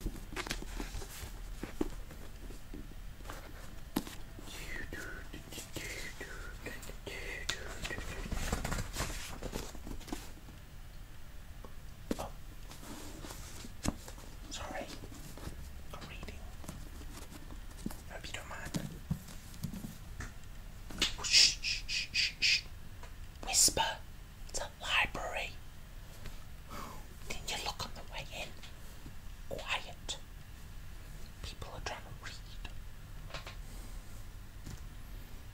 sorry. reading. hope you don't mind. shh, shh, shh, shh, shh. Whisper. It's a library. Didn't you look on the way in? Quiet. People are trying to read.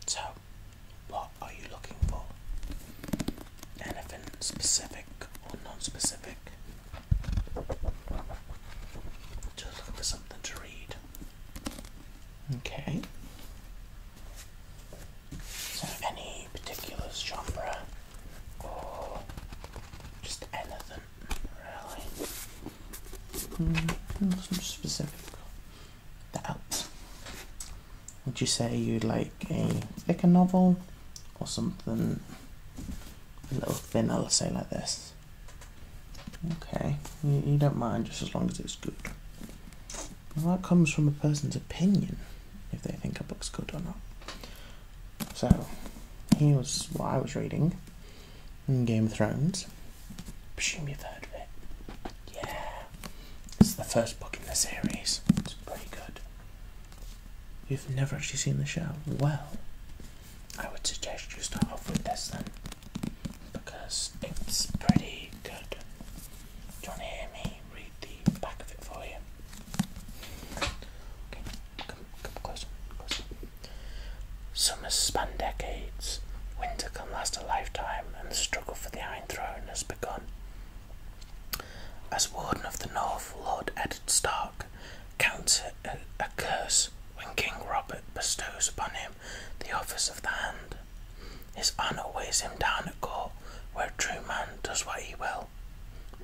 So, what are you looking for? Anything specific or non specific? Just looking for something to read. Okay. So any particular genre or just anything really? Mm, nothing specific. That helps. Would you say you'd like a thicker novel or something a little thinner, let's say like this? Okay, you don't mind just as long as it's good. Well, that comes from a person's opinion, if they think a book's good or not. So, here's what I was reading Game of Thrones. Presume you've heard of it. Yeah. It's the first book in the series. It's pretty good. You've never actually seen the show? Well, I would suggest you start off with this then because it's pretty good. Do you want to hear me read the back of it for you? come, come closer, closer. Summers span decades, winter can last a lifetime, and the struggle for the Iron Throne has begun. As Warden of the North, Lord Edard Stark counts a curse when King Robert bestows upon him the office of the hand. His honour weighs him down at court, where a true man does what he will,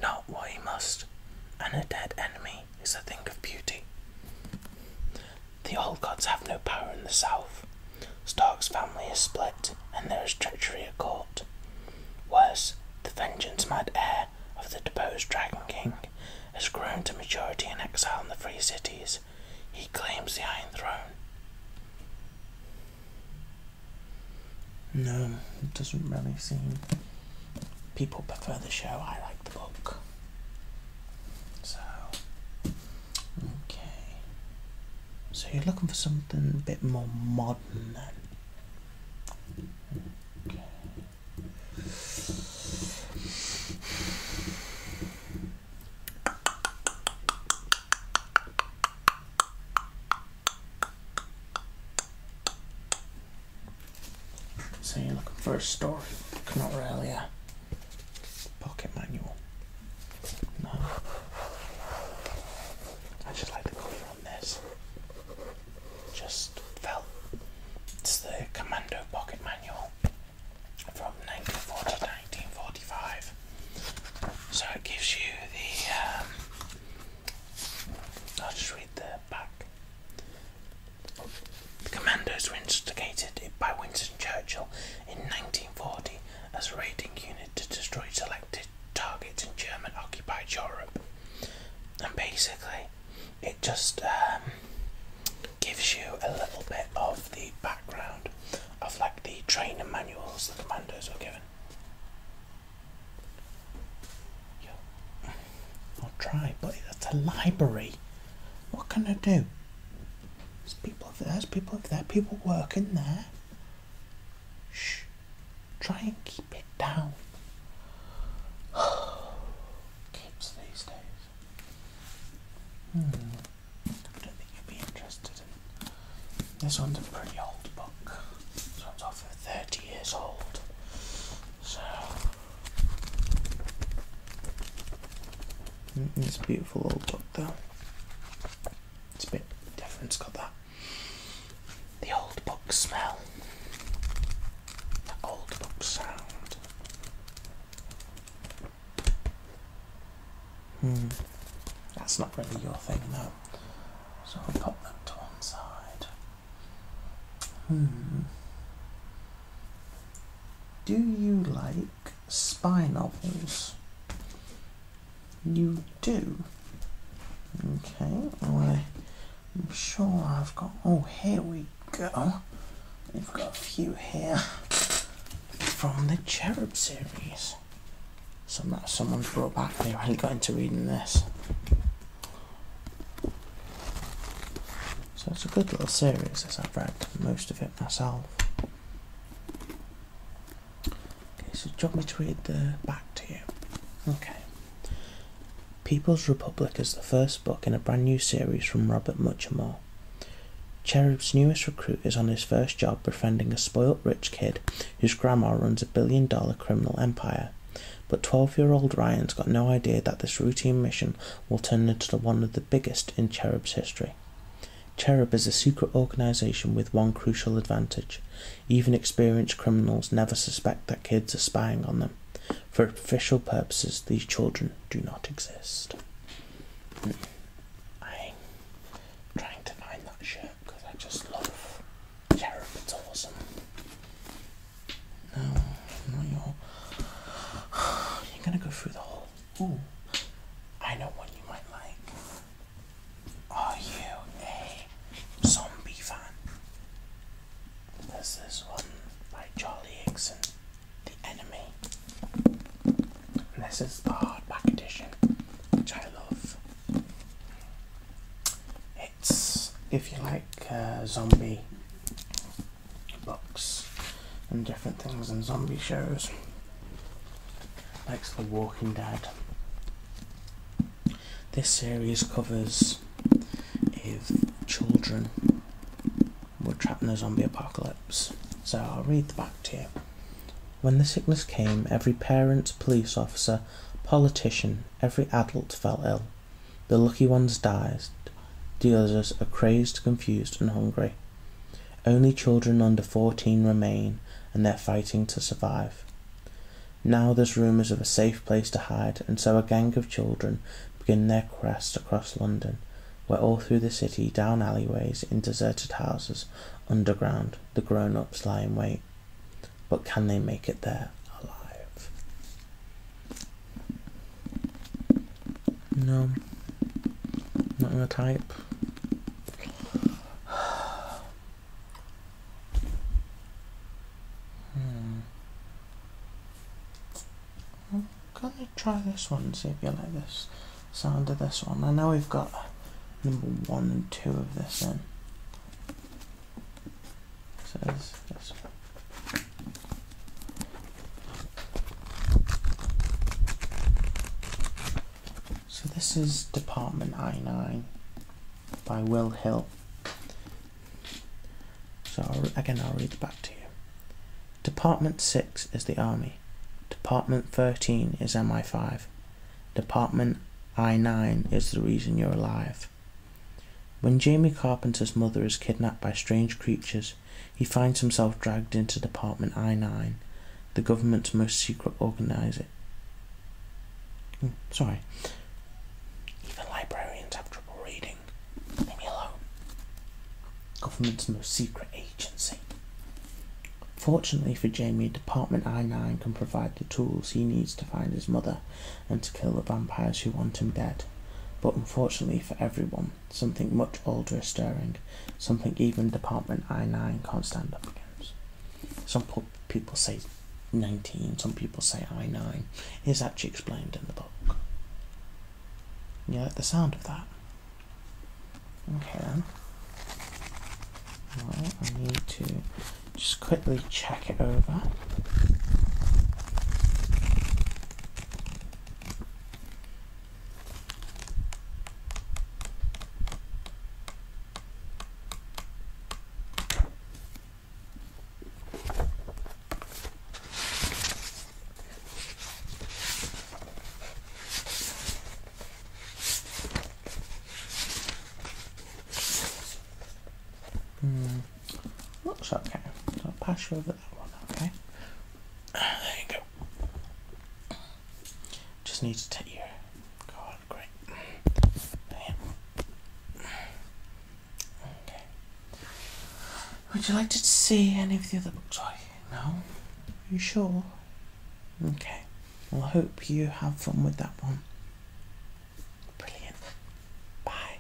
not what he must, and a dead enemy is a thing of beauty. The old gods have no power in the south. Stark's family is split, and there is treachery at court. Worse, the vengeance mad heir of the deposed Dragon King has grown to maturity in exile in the free cities, he claims the Iron Throne. No, it doesn't really seem. People prefer the show, I like the book. So, okay. So you're looking for something a bit more modern then? So you're looking for a story, not really a pocket manual. No. I just like the cover on this. Just felt it's the commando pocket manual from 1940 to 1945. So it gives you the. Um, I'll just read the back. The commandos were instigated by Winston Churchill in 1940 as a raiding unit to destroy selected targets in German occupied Europe. And basically, it just um, gives you a little bit of the background of like the training manuals that the commandos are given. I'll try, but it's a library. What can I do? There's people there. People working there. Shh. Try and keep it down. kids these days. Hmm. I don't think you'd be interested in. This one's a pretty old book. This one's off 30 years old. So. Mm, it's a beautiful old book though. It's a bit different, it's got that. The old book smell old loop sound. Hmm, that's not really your thing though. So I'll pop that to one side. Hmm. Do you like spy novels? You do. Okay, I I'm sure I've got. Oh, here we go. We've got a few here from the Cherub series. Some that someone's brought back. They really got into reading this. So it's a good little series as I've read most of it myself. Okay, so drop me to read the back to you? Okay. People's Republic is the first book in a brand new series from Robert Muchamore. Cherub's newest recruit is on his first job befriending a spoilt rich kid whose grandma runs a billion dollar criminal empire. But 12 year old Ryan's got no idea that this routine mission will turn into one of the biggest in Cherub's history. Cherub is a secret organisation with one crucial advantage even experienced criminals never suspect that kids are spying on them. For official purposes, these children do not exist. I'm trying to find that shirt because I just love Cherub. It's awesome. No, not You're gonna go through the whole. I know one you might like. Are you a zombie fan? This is one by Charlie Higson, The Enemy. And this is the hardback edition, which I love. It's, if you like, uh, zombie books and different things and zombie shows, like The Walking Dead this series covers if children were trapped in a zombie apocalypse. So I'll read the back to you. When the sickness came, every parent, police officer, politician, every adult fell ill. The lucky ones died, the others are crazed, confused, and hungry. Only children under 14 remain, and they're fighting to survive. Now there's rumours of a safe place to hide, and so a gang of children begin their quest across London, where all through the city, down alleyways, in deserted houses, underground, the grown ups lie in wait. But can they make it there alive? No. Not gonna type. Hmm. I'm gonna try this one and see if you like this sound of this one. I know we've got number one and two of this in. So this one. So this is Department I9 by Will Hill. So again, I'll read back to you. Department 6 is the Army. Department 13 is MI5. Department I9 is the reason you're alive. When Jamie Carpenter's mother is kidnapped by strange creatures, he finds himself dragged into Department I-9, the government's most secret organizer. Hmm, sorry. Even librarians have trouble reading. Leave me alone. Government's most secret agency. Fortunately for Jamie, Department I-9 can provide the tools he needs to find his mother and to kill the vampires who want him dead. But unfortunately for everyone, something much older is stirring, something even Department I9 can't stand up against. Some people say 19, some people say I9. It's actually explained in the book. You like the sound of that? Okay Right, I need to just quickly check it over. Mm, looks okay. So I'll pass you over that one, okay? Ah, there you go. Just need to take your card. Great. Okay. Would you like to see any of the other books? Right? No. Are you sure? Okay. Well, I hope you have fun with that one. Brilliant. Bye.